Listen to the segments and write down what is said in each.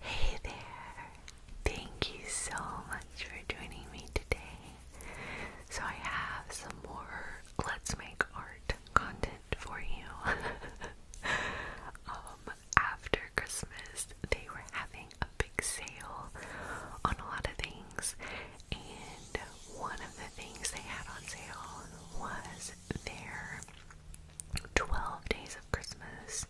Hey there! Thank you so much for joining me today. So, I have some more Let's Make Art content for you. Um, after Christmas, they were having a big sale on a lot of things, and one of the things they had on sale was their 12 Days of Christmas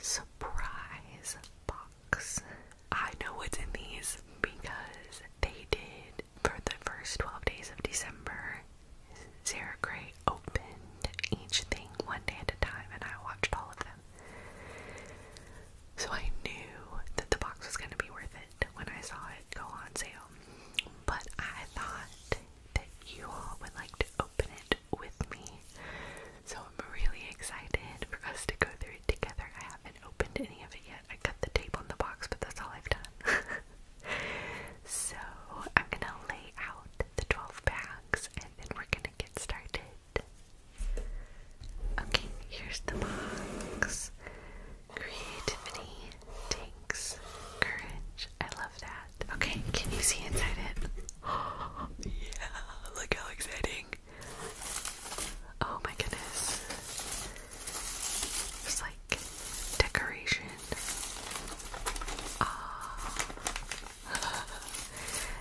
surprise box. I know what's in these because they did for the first 12 days of December. Sarah Gray opened each thing one day at a time, and I watched all of them. So I knew that the box was going to be worth it when I saw it go on sale. But I thought that you all would like to open it with me. So I'm really excited for us to go through it together. I haven't opened any of it yet. I cut the tape on the box, but that's all I've done. so I'm gonna lay out the 12 bags and then we're gonna get started. Okay, here's the box. Creativity takes courage. I Okay, can you see inside it? yeah, look how exciting. Oh my goodness. It's like decoration. Ah.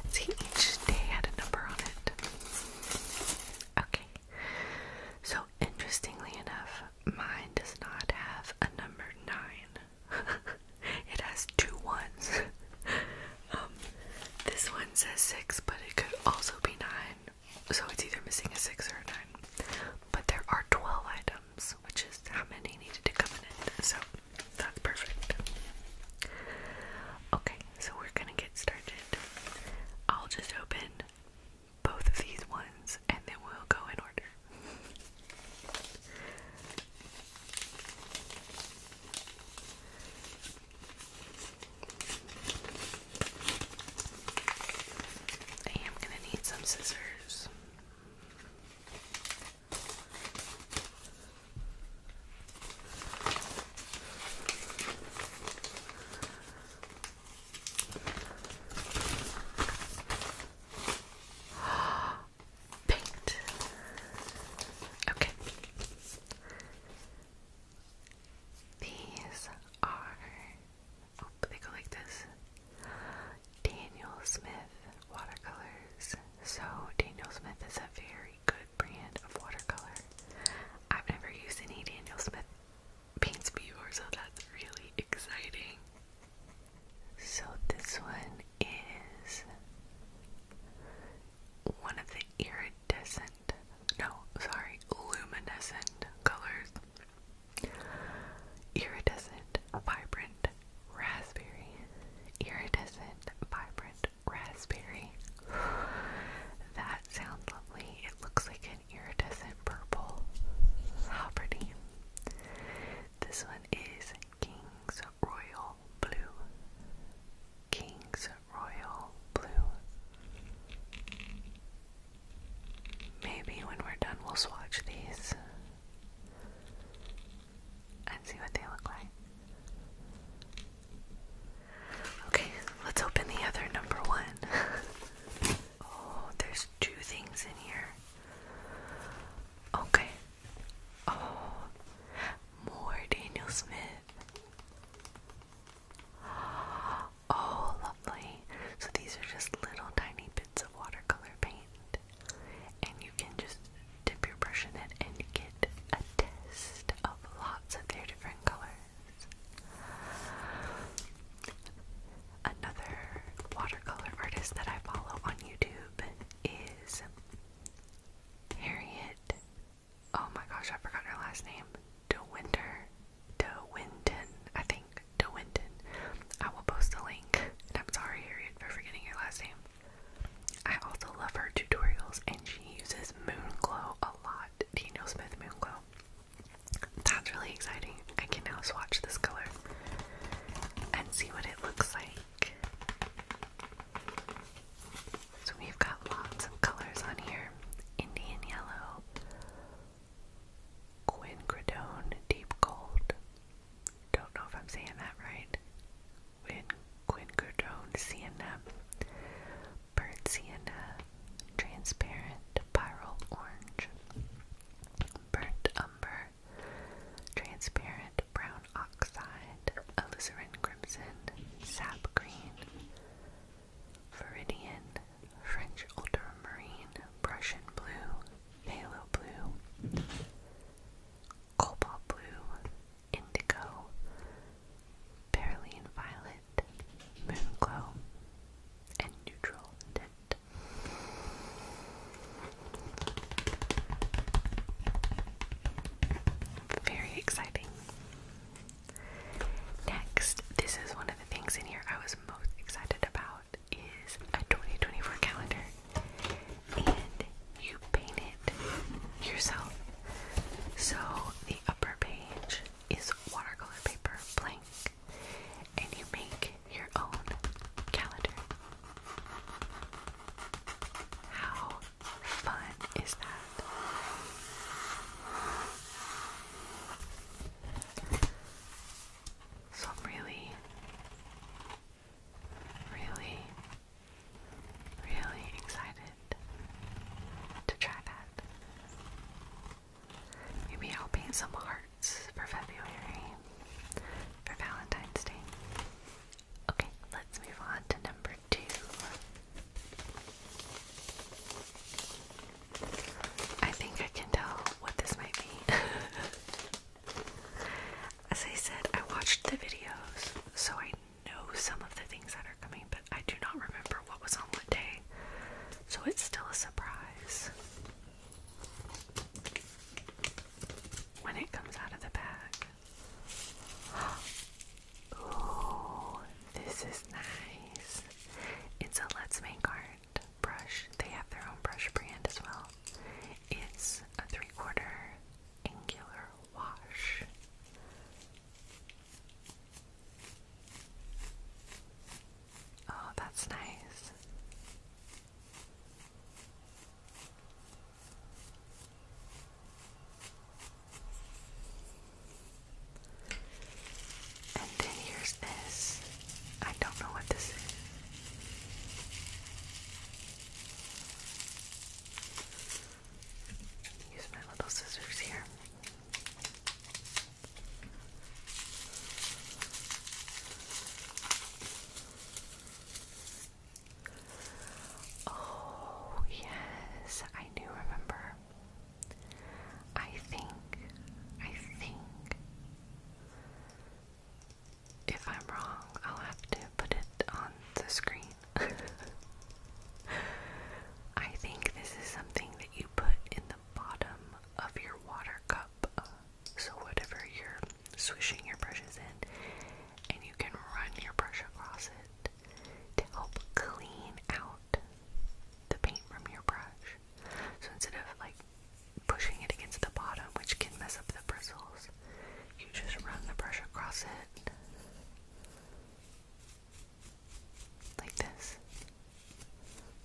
See, each day had a number on it. Okay. So, interestingly enough, mine does not have a number 9. it has two ones. Um, this one says six, but it could also be nine. So it's either missing a six or a nine. But there are 12 items, which is how many needed to come in So that's perfect. Okay, so we're gonna get started. I'll just open both of these ones and then we'll go in order. I am going to need some scissors. Paint. Okay. These are. Oh, they go like this. Daniel Smith watercolors. So, Daniel Smith is a very good brand of watercolor. I've never used any Daniel Smith paints before, so that's really exciting. So this one is one of the iridescent, no, sorry, luminescent colors. Iridescent, vibrant, raspberry. Iridescent, vibrant, raspberry. That sounds lovely. It looks like an iridescent purple. How pretty. This one is King's Royal Blue. King's Royal Blue. Maybe when we're done, we'll swatch these and see what they look like. Okay, let's open the other number one. Oh, there's two things in here. Okay. Oh, more Daniel Smith. Oh, lovely. So these are just little tiny bits of watercolor paint. And you can just dip your brush in it and get a test of lots of their different colors. Another watercolor artist that I follow on YouTube is Harriet. Oh my gosh, I forgot her last name. De Winter. I think. De Winton. I will post a link. And I'm sorry, Harriet, for forgetting your last name. I also love her tutorials and she uses Moonglow a lot. Daniel you know Smith Moonglow? That's really exciting. I can now swatch this color and see what it looks like. So we've got lots of colors on here. Indian yellow, quinquedone deep gold. Don't know if I'm saying that right. Quin quinquedone sienna, burnt sienna, transparent, Pyro Orange, Burnt Umber, Transparent Brown Oxide, Alizarin Crimson, Sap Green, Viridian, French Ultramarine, Prussian Blue, Halo Blue, Cobalt Blue, Indigo, Beryllian Violet, Moonglow, and Neutral very exciting. Next, this is one of the things in here I was most excited about is a 2024 calendar. And you paint it yourself. So the upper page is watercolor paper blank and you make your own calendar. How fun is that? So I'm really, really, really excited to try that. Maybe I'll paint some hearts for February, for Valentine's Day. Okay, let's move on to number two. I think I can tell what this might be. As I said, I watched the videos, so I know some of the things that are coming, but I do not remember what was on what day, so it's still a surprise when it comes out of the bag. Ooh, this is nice. It's a Let's Make Art brush. They have their own brush brand as well. It's a three quarter angular wash. Oh, that's nice. And then here's this. I don't know what this is. Use my little scissors here. Oh, yes, I do remember. I think, I think, if I'm wrong, I'll have to put it on the screen. I think this is something that you put in bottom of your water cup. Uh, so, whatever you're swishing your brushes in, and you can run your brush across it to help clean out the paint from your brush. So, instead of like pushing it against the bottom, which can mess up the bristles, you just run the brush across it like this.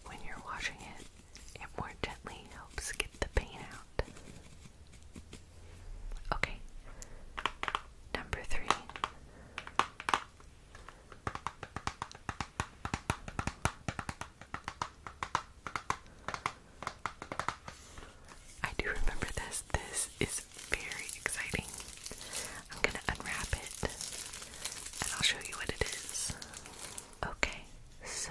When you're washing it, it more gently helps get the paint out. Okay, number three. I do remember this. This is very exciting. I'm going to unwrap it and I'll show you what it is. Okay, so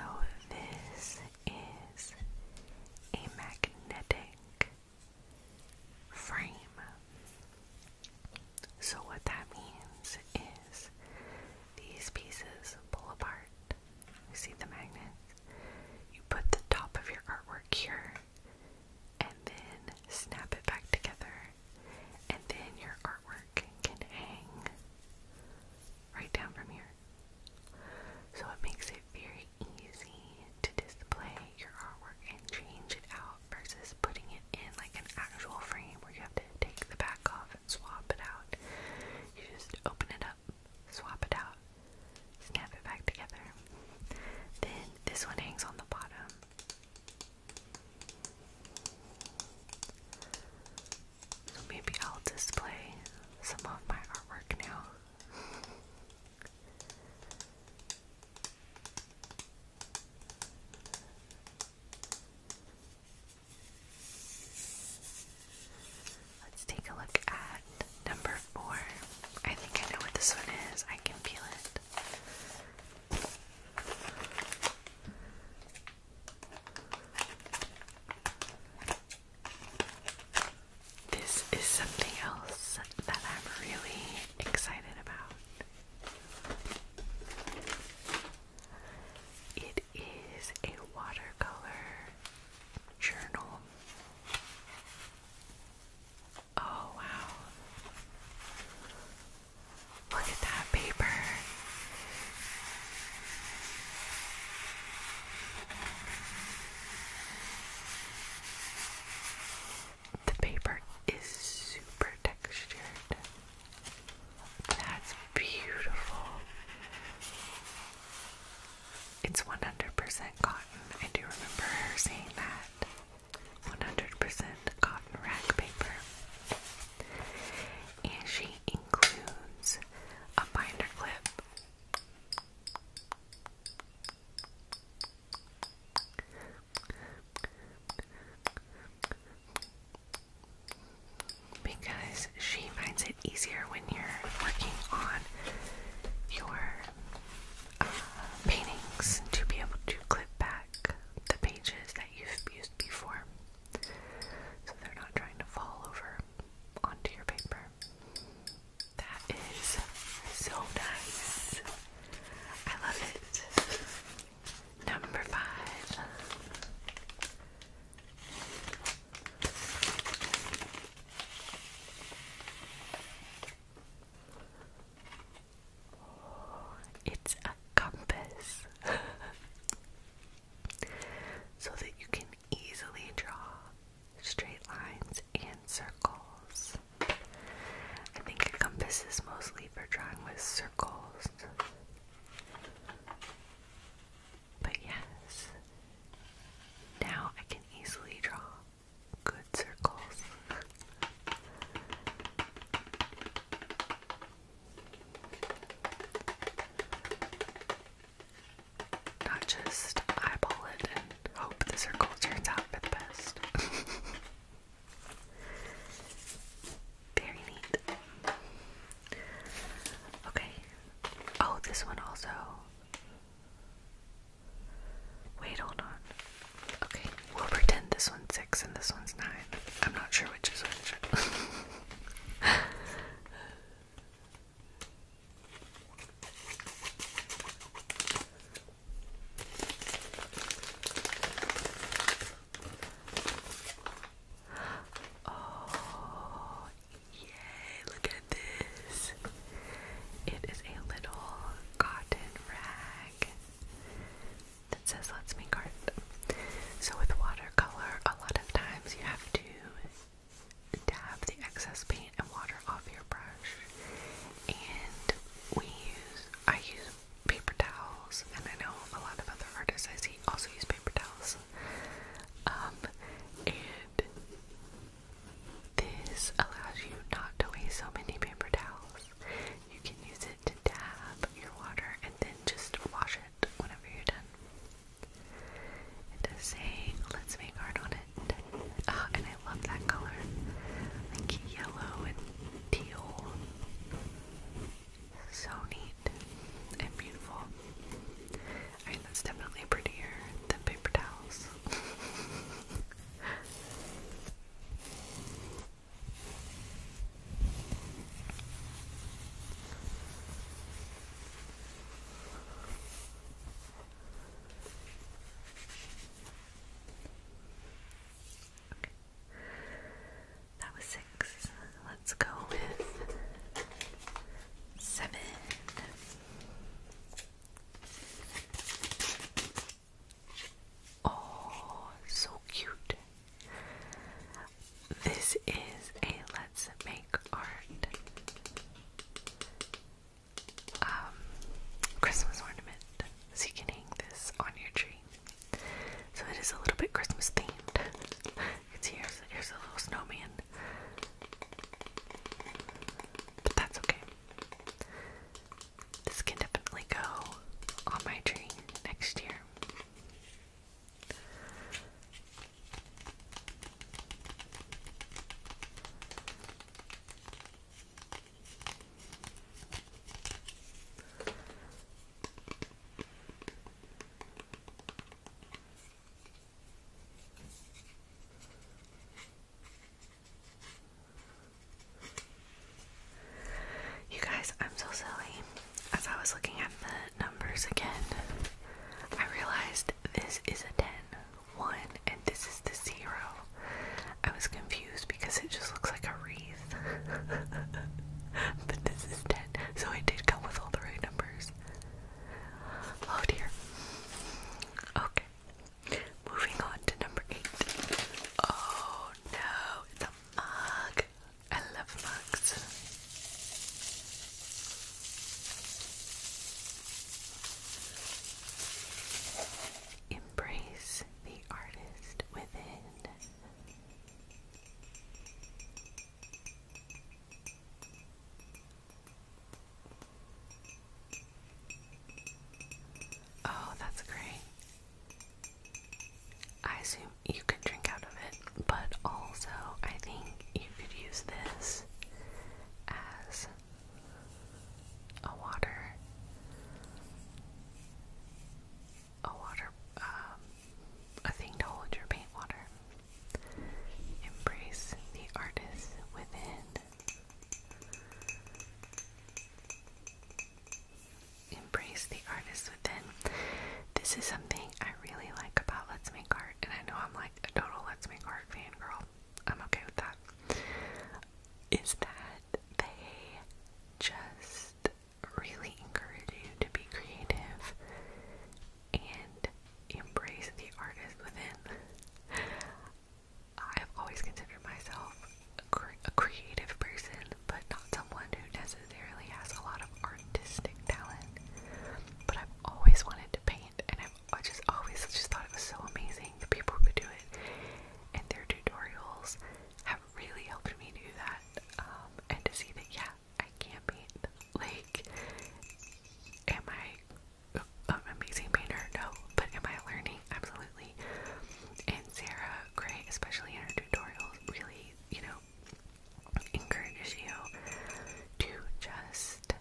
this is a magnetic frame. So, what that means is these pieces pull apart. You see the magnet? You put the top of your artwork here, and then snap it back together, and then your artwork can hang right down from here. So it makes it very easy to display your artwork and change it out versus putting it in like an actual frame where you have to take the back off and swap it out. You just open it up, swap it out, snap it back together. Then this one hangs on the bottom. So maybe I'll display some of my artwork now. Let's take a look at number four. I think I know what this one is. I can feel it. This is something else that I'm really excited about. It is a watercolor journal. Oh, wow. Look at that paper. The paper is super textured. That's beautiful. It's 100% cotton. I do remember her saying that. 100% cotton rag paper. And she includes a binder clip. Because she finds it easier when you're working on your uh, paintings to be able to clip back the pages that you've used before so they're not trying to fall over onto your paper. That is so nice. I love it. Number five. It's a compass so that you can easily draw straight lines and circles. I think a compass is mostly for drawing with circles. But yes, now I can easily draw. Good good circles. Not just eyeball it and hope the circle turns out for the best. Very neat. Okay. Oh, this one also. Wait, hold on. Okay, we'll pretend this one's six and this one's nine. I'm not sure which is which. oh, yay, look at this. It is a little cotton rag that says let's make art. So with watercolor, a lot of times you have to dab the excess paint and water off your brush. And we use I use paper towels and I know a lot of other artists I see also use paper towels. Um, and this allows you not to waste so many paper towels. You can use it to dab your water and then just wash it whenever you're done. It does say, let's make art on it. Ah, and I love that color. Like yellow and teal. So neat and beautiful. I mean, that's definitely prettier than paper towels. That was six. Let's go with seven. Oh, so cute. This is a let's make art um, Christmas ornament. So you can hang this on your tree. So it is a little bit Christmas themed. It's here's here's a little snowman. But that's okay. This can definitely go on my tree next year. You guys, I'm so silly. As I was looking at the numbers again, I realized this is a 10, 1, and this is the 0. I was confused because it just looks like a wreath. but this is 10, so I did come with all the right numbers. Oh dear. Okay. Moving on to number eight. Oh no, it's a mug. I love mugs. Embrace the artist within. Oh, that's great. I assume you could drink out of it, but also I think you could use this as a water, a water, um, a thing to hold your paint water. Embrace the artist within Embrace the artist within. This is something I really like about Let's Make Art, and I know I'm like a total Let's Make Art fan girl. I'm okay with that. Is that they just really encourage you to be creative and embrace the artist within. I've always considered myself a, creative person, but not someone who necessarily has a lot of artistic talent. But I've always wanted to paint, and i just always just thought it was so amazing the people who do it, and their tutorials have really helped me do that, um, and to see that yeah, I can paint. Like, am I uh, amazing painter, no, but am I learning? Absolutely. And Sarah Gray, especially in her tutorials, really, you know, encourages you to just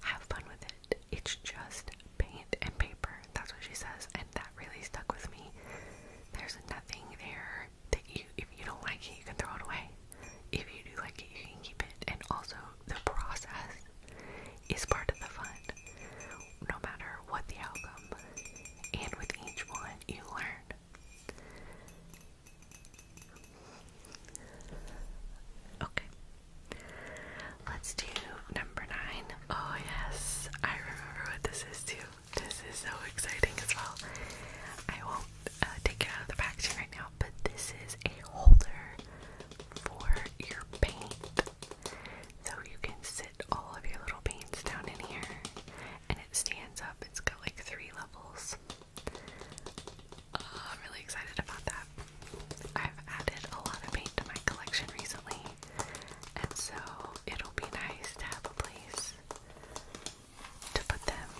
have fun with it. It's just paint and paper. That's what she says, and that really stuck with me. There's nothing there that you, if you don't like it, you can throw it away. If you do like it, you can keep it. And also, the process is part of the fun, no matter what the outcome. And with each one, you learn. Okay. Let's do number nine. Oh, yes. I remember what this is, too. This is so exciting as well. I won't uh, take it out of the packaging right now, but this is a holder for your paint. So you can sit all of your little paints down in here and it stands up. It's got like three levels. Uh, i really excited about that. I've added a lot of paint to my collection recently, and so it'll be nice to have a place to put them.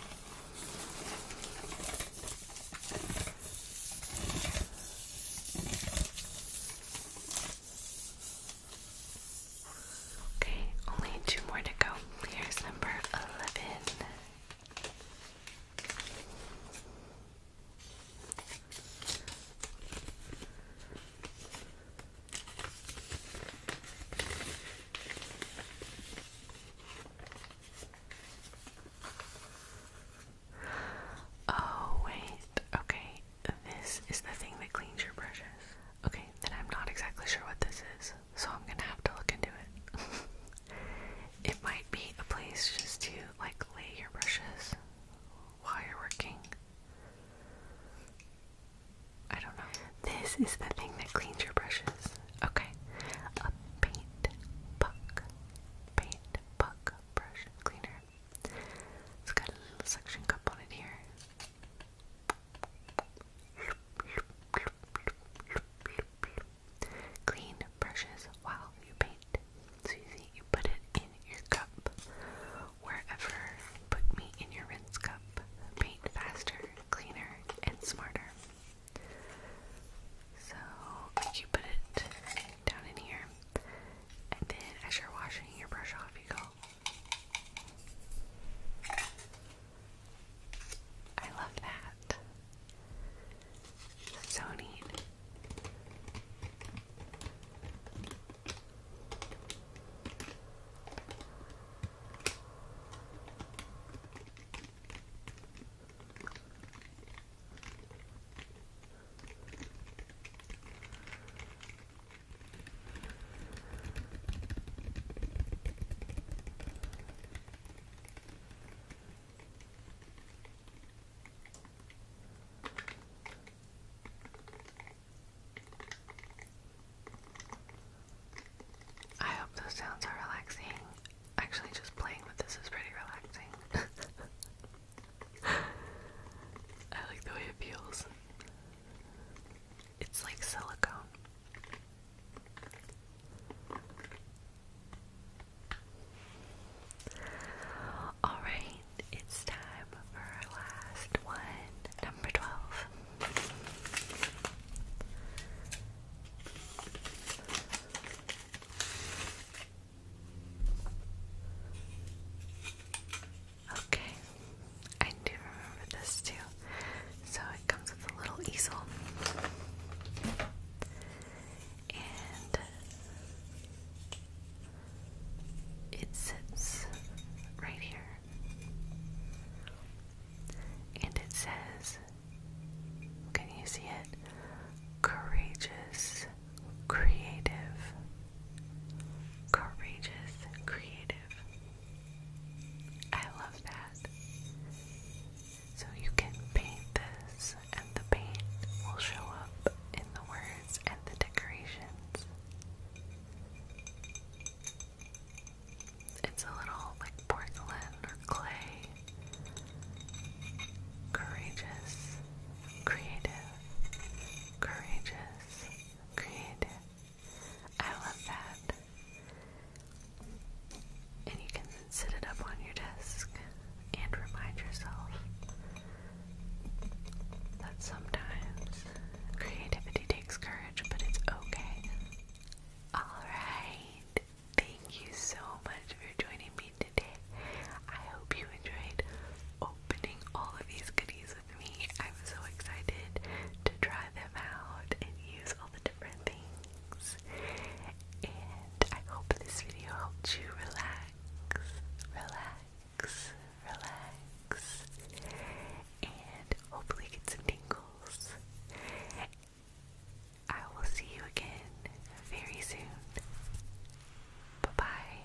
Okay, only two more to go. Here's number 11. Oh, wait. Okay, this is the thing that cleans your brushes. Okay, then I'm not exactly sure what this is, so I'm gonna have to look into it. it might be a place just to, like, lay your brushes while you're working. I don't know. This is the thing that cleans your brushes. Okay. A paint puck. Paint puck brush cleaner. It's got a suction cup on it here. Clean brushes while you paint. So you put it in your cup. Wherever, put me in your rinse cup. Paint faster, cleaner, and smarter. So you put it down in here, and then as you're washing your brush off, you go. I love that. So neat. I hope those sounds are relaxing actually just playing with this is pretty relaxing. I like the way it feels. It's like silicone. Alright, it's time for last one, number 12. Okay, I do remember this too. So it comes with a little easel. And it sits right here. And it says can you see it? Courageous, creative. Courageous, creative. I love that. So you can paint this, and the paint will show up in the words and the decorations. It's a little like porcelain or clay courageous, creative, courageous, creative. I love that. And you can sit it up on your desk and remind yourself that sometimes creativity takes courage, but it's okay. Alright, Thank you so much for joining me today. I hope you enjoyed opening all of these goodies with me. I'm so excited to try them out and use all the different things. And I hope this video helped you relax, relax, relax, and hopefully get some tingles. I will see you again very soon. Bye bye.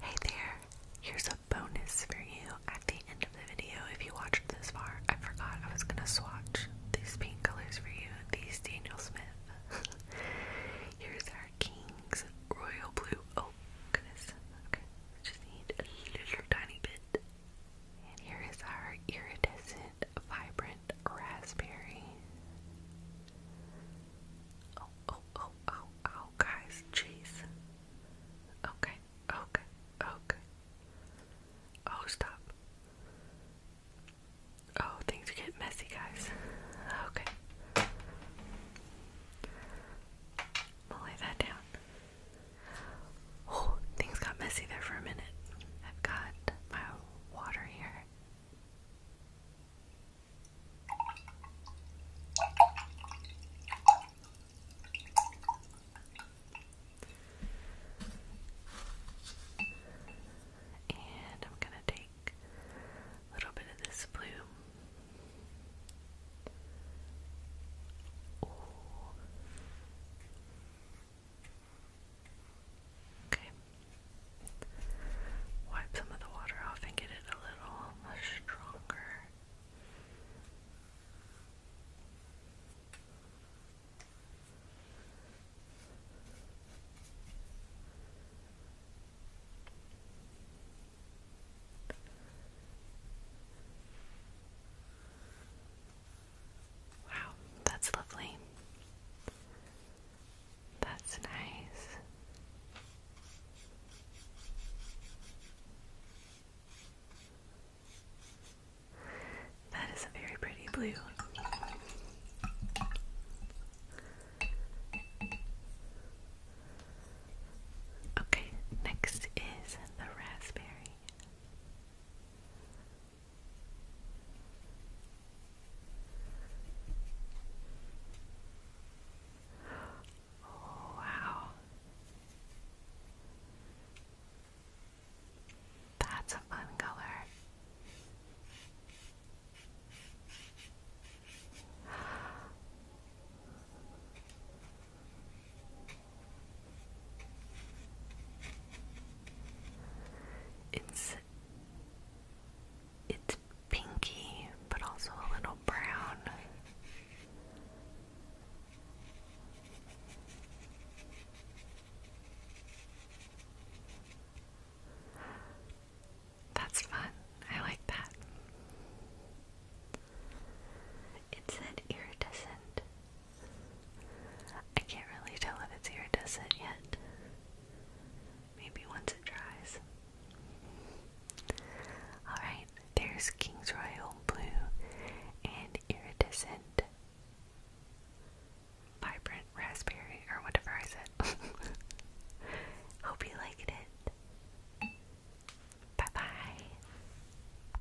Hey there, here's a bonus for you at the end of the video if you watched this far. I forgot I was gonna swatch these paint colors for you, these Daniel Smith. here's our King's Royal Blue. Oh, goodness. Okay, just need a little tiny bit. And here is our iridescent Vibrant, raspberry. Oh, oh, oh, oh, oh, guys, jeez. Okay, okay, okay. Oh, stop. Oh, things get messy, guys. Okay. I'm lay that down. Oh, things got messy there for a minute. I've got my water here. And I'm going to take a little bit of this blue. Okay. Wipe some of the water off and get it a little stronger. Wow, that's lovely. That's nice. That is a very pretty blue. Okay, next is the raspberry wow. That's a fun color. It's it's pinky, but also a little brown. That's fun. I like that it said iridescent. I can't really tell if it's iridescent yet. Maybe once it dries. Alright, there's King's Royal Blue and iridescent vibrant raspberry or whatever I said. Hope you liked it. Bye bye.